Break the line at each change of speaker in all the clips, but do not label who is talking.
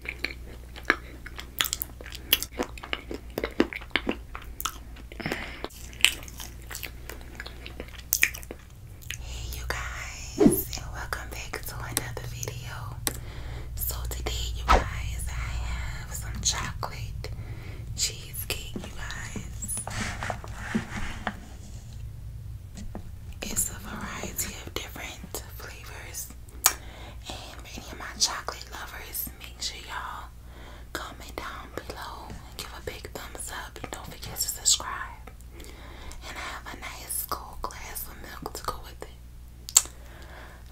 Hey you guys and welcome back to another video. So today you guys I have some chocolate cheesecake you guys. It's a variety of different flavors. And for any of my chocolate lovers, make sure y'all comment down below and give a big thumbs up. And don't forget to subscribe. And I have a nice cold glass of milk to go with it.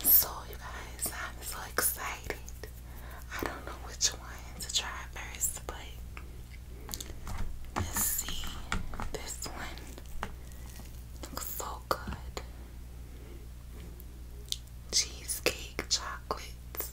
So, you guys, I'm so excited. I don't know which one to try first, but let's see. This one looks so Cheesecake chocolates.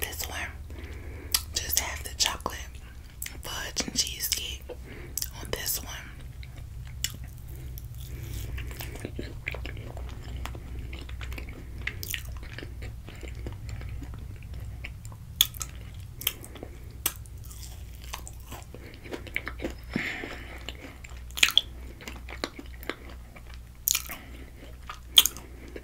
This one just have the chocolate fudge and cheesecake on this one.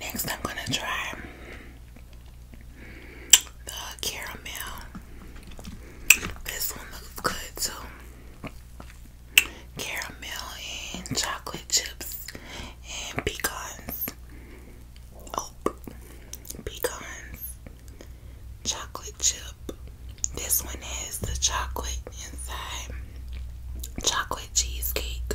Next, I'm going to try the caramel. This one looks good too caramel and chocolate chips and pecans. Oh, pecans, chocolate chip. This one has the chocolate inside, chocolate cheesecake.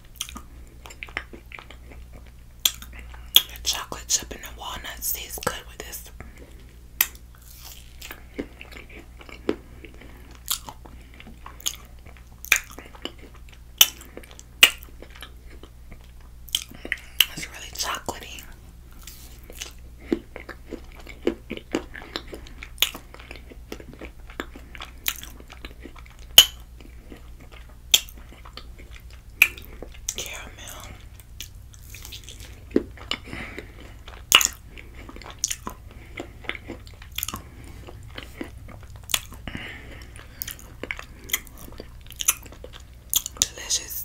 The chocolate chip and the walnuts taste good with this. It's really chocolatey. Caramel. Delicious.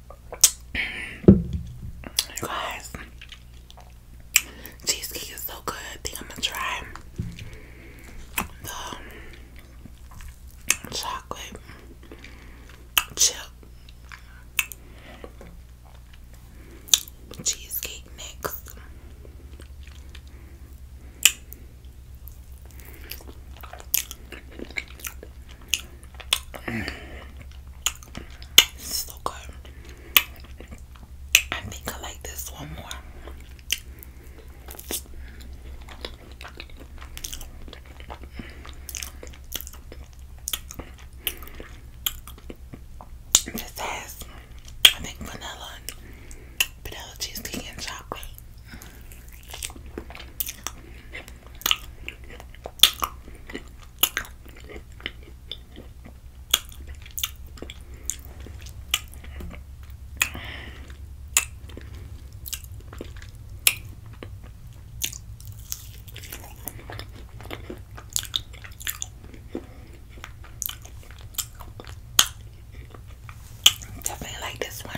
guys, cheesecake is so good. I think I'm gonna try the chocolate chip cheesecake next so good. I think I like this one more. This has, I think, vanilla, vanilla cheesecake, and chocolate. Definitely like this one.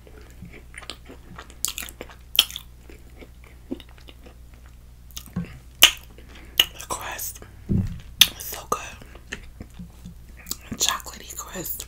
crust was so good. Chocolatey crust.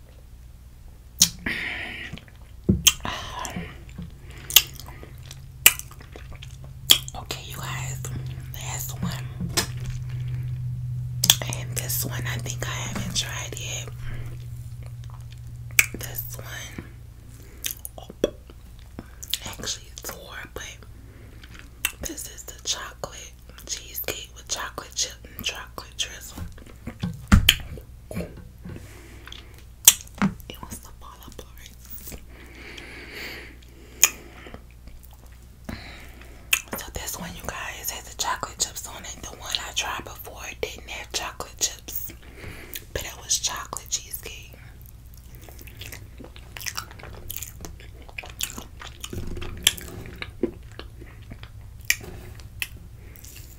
Um, okay, you guys, last one. And this one, I think I haven't tried yet. This one, oh, actually, it's four, but this is the chocolate cheesecake with chocolate chip and chocolate drizzle. It wants to fall apart. So this one, you guys, has the chocolate chips on it. The one I tried before didn't have chocolate chips, but it was chocolate cheesecake.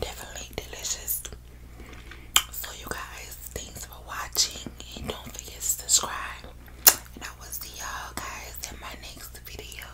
Definitely delicious. So, you guys, thanks for watching and don't forget to subscribe. And I will see y'all guys in my next video.